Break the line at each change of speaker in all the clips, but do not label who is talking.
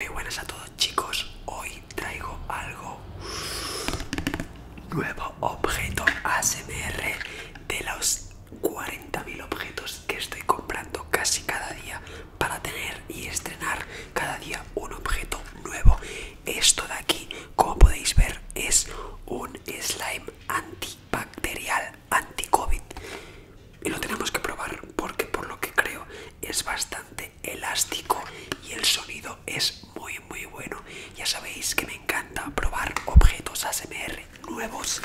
Muy buenas a todos chicos, hoy traigo algo nuevo objeto ASMR de los 40.000 objetos que estoy comprando casi cada día para tener y estrenar cada día un objeto nuevo. Esto de aquí, como podéis ver, es un slime antibacterial anti-COVID y lo tenemos que probar porque por lo que creo es bastante elástico y el sonido es muy muy bueno ya sabéis que me encanta probar objetos ASMR nuevos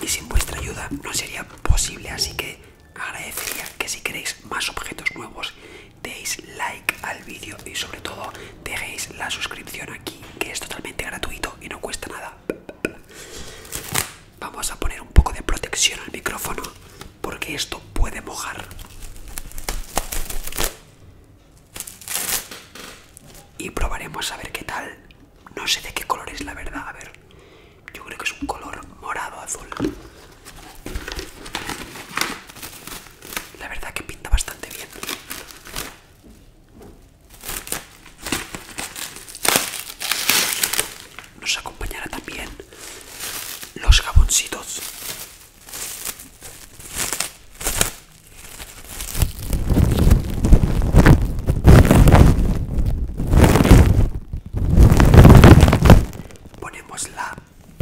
y sin vuestra ayuda no sería posible así que agradecería que si queréis más objetos nuevos deis like al vídeo y sobre todo dejéis la suscripción aquí que es totalmente gratuito y no cuesta nada Vamos a poner un poco de protección al micrófono porque esto puede mojar. Y probaremos a ver qué tal. No sé de qué color es la verdad, a ver. Yo creo que es un color morado azul. La verdad que pinta bastante bien. Nos acompañará también los jaboncitos. Ponemos la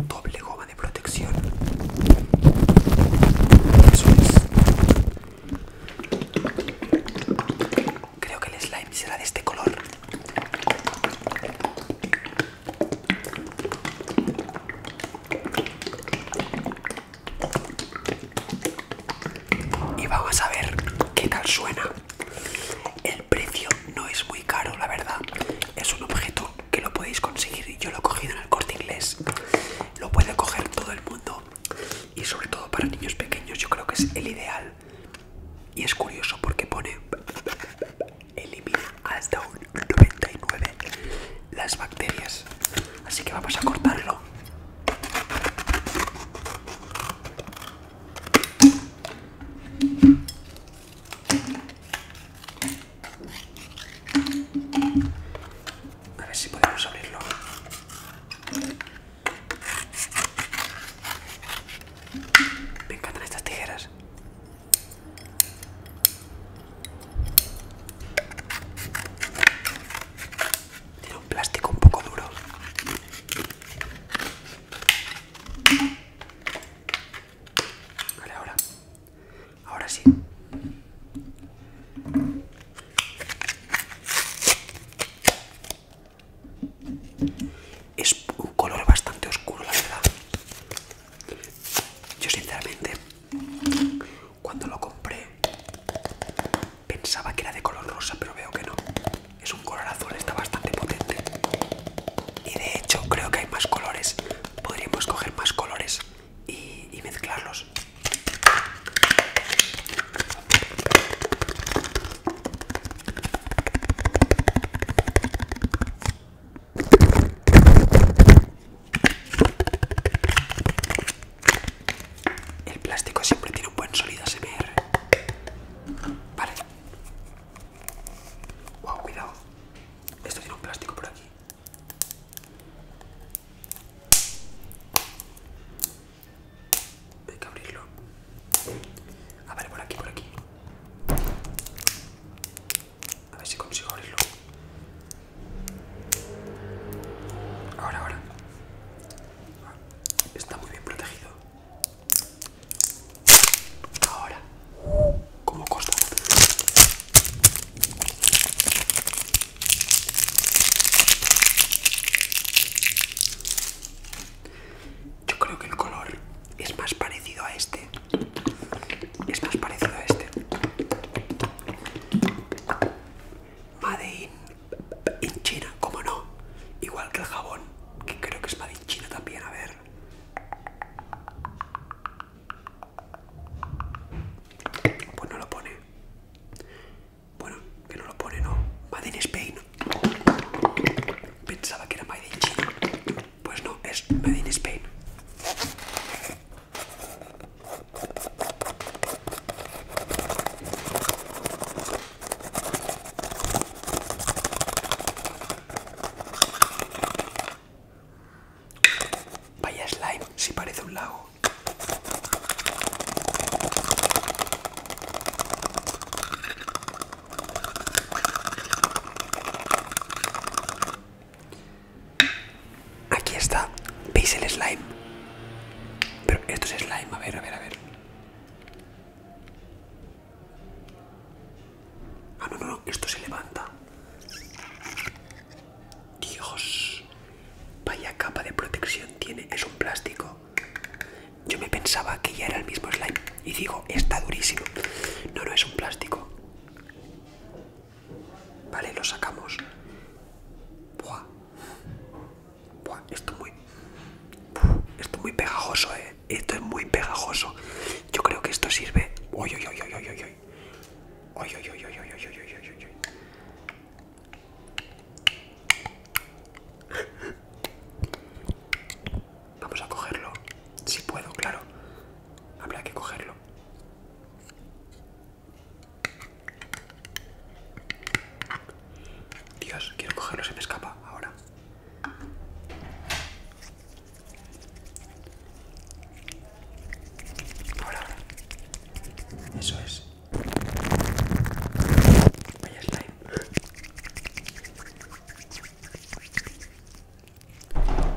doble goma de protección. Eso es. Creo que el slime será de este color. Y vamos a ver qué tal suena. El precio no es muy caro, la verdad. Es un objeto que lo podéis conseguir. Yo lo he cogido en el corte inglés. Lo puede coger todo el mundo y sobre todo para niños pequeños yo creo que es el ideal y es curioso porque pone elimina hasta un 99 las bacterias así que vamos a cortarlo a ver si podemos abrirlo me encantan estas tijeras. Tiene un plástico un poco duro. Vale, ahora. Ahora sí. Es un color bastante oscuro, la verdad. Yo sinceramente, cuando lo compré, pensaba que era de color rosa, pero veo que no. Es un color azul, está bastante potente. Y de hecho creo que hay más colores. Podríamos coger más colores y, y mezclarlos. El plástico siempre tiene un buen sonido ASMR. Vale. Wow, cuidado. Esto tiene un plástico por aquí. Hay que abrirlo. A ver, por aquí, por aquí. A ver si consigo abrirlo. Ahora, ahora. Está muy bien protegido. Ahora. Como costa. Yo creo que el color es más parecido a este. Es más parecido a este. Made in, China, como no. Igual que el jabón, que creo que es Made in China también, a ver. Pues no lo pone. Bueno, que no lo pone, no. Made in Spain. Pensaba que era Made in China. Pues no, es Made in Spain. Vaya slime, si parece un lago. Aquí está, ¿veis el slime? Pero esto es slime, a ver, a ver, a ver. Ah, no, no, no, esto se levanta. Dios, vaya capa de protección tiene, es un plástico. Yo me pensaba que ya era el mismo slime y digo, está durísimo. No, no, es un plástico. Vale, lo sacamos. Buah. esto muy... Esto es muy pegajoso, eh. Esto es muy pegajoso. Yo creo que esto sirve... Uy, uy, uy, uy, uy, uy. Vamos a cogerlo. Si puedo, claro. Habrá que cogerlo. Dios, quiero cogerlo, se me escapa ahora ahora. Eso es. Vaya slime.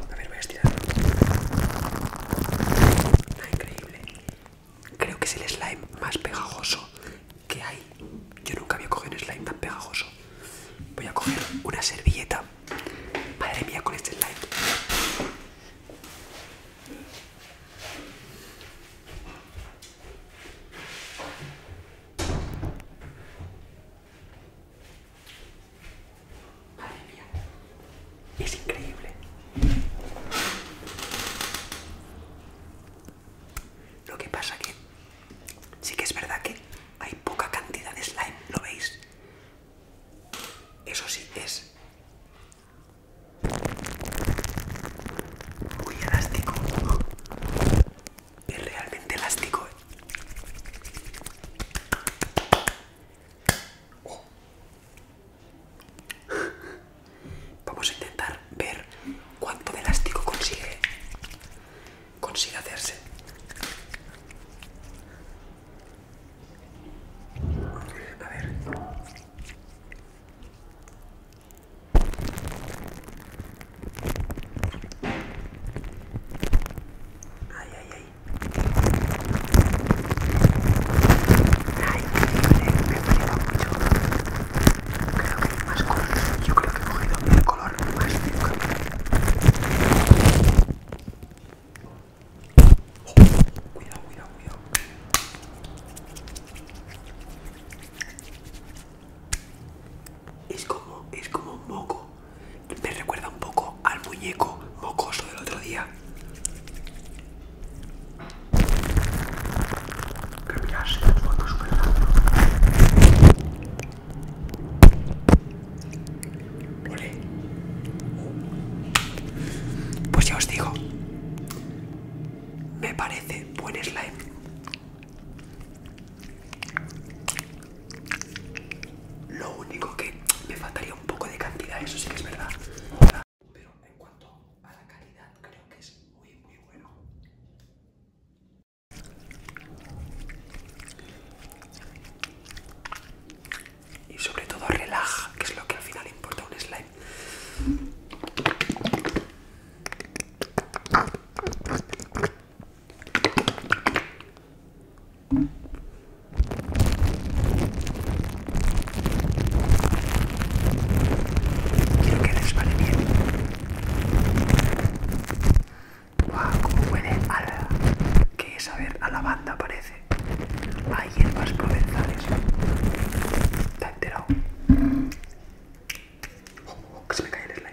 A ver, voy a estirarlo. increíble. Creo que es el slime más pegajoso que hay. Yo nunca había cogido un slime tan pegajoso. Voy a coger una servilleta Madre mía con este slide Madre mía. Es increíble. Lo que pasa que Sí que es verdad que hay poca cantidad de slime, ¿lo veis? Eso sí, es muy elástico. Es realmente elástico. Oh. Vamos a intentar ver cuánto de elástico consigue consiga hacerse. A ver. Ay, ay, ay. me mucho. más Yo creo que he cogido el color cuidado, cuidado, cuidado. Es como, es como un moco. Me recuerda un poco al muñeco mocoso del otro día. Pero Que mirase las súper ¿verdad? Pues ya os digo, me parece buen slime. Lo único que me faltaría un poco de cantidad, eso sí que es verdad. Pero en cuanto a la calidad, creo que es muy, muy bueno. Y sobre todo relaja, que es lo que al final importa un slime. Quiero que les bien. Guau, como huele a... que saber a lavanda parece. Hay hierbas provenzales. ¿Te has enterado? Oh, que se me cae el slime.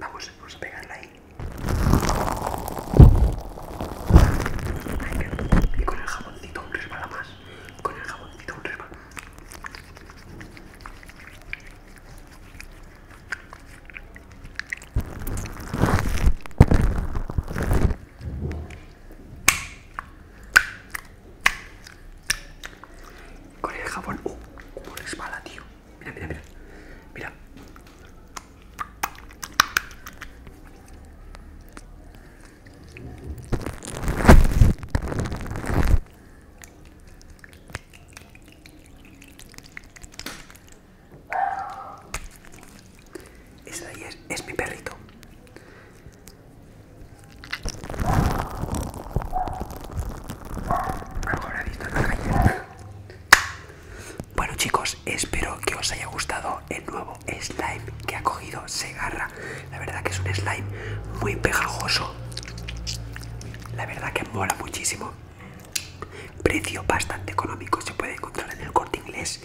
Vamos, a pegarla ahí. Y con el jaboncito un resbala más. Con el jaboncito un resbala. Con el jabón. ¡Uh! tío. Mira, mira, mira. Mira. Esa ahí es mi perrito. Bueno chicos, espero que os haya gustado el nuevo slime que ha cogido Segarra. La verdad que es un slime muy pegajoso. La verdad que mola muchísimo. Precio bastante económico, se puede encontrar en el corte inglés.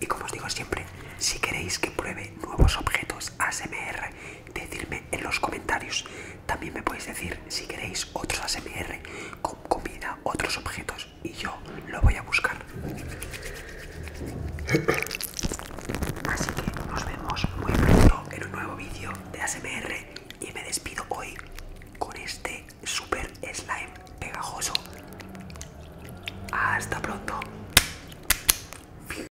Y como os digo siempre, si queréis que pruebe nuevos objetos ASMR Decirme en los comentarios. También me podéis decir si queréis otros ASMR con comida, otros objetos. Y yo lo voy a buscar. Así que nos vemos muy pronto en un nuevo vídeo de ASMR. Y me despido hoy con este super slime pegajoso. Hasta pronto.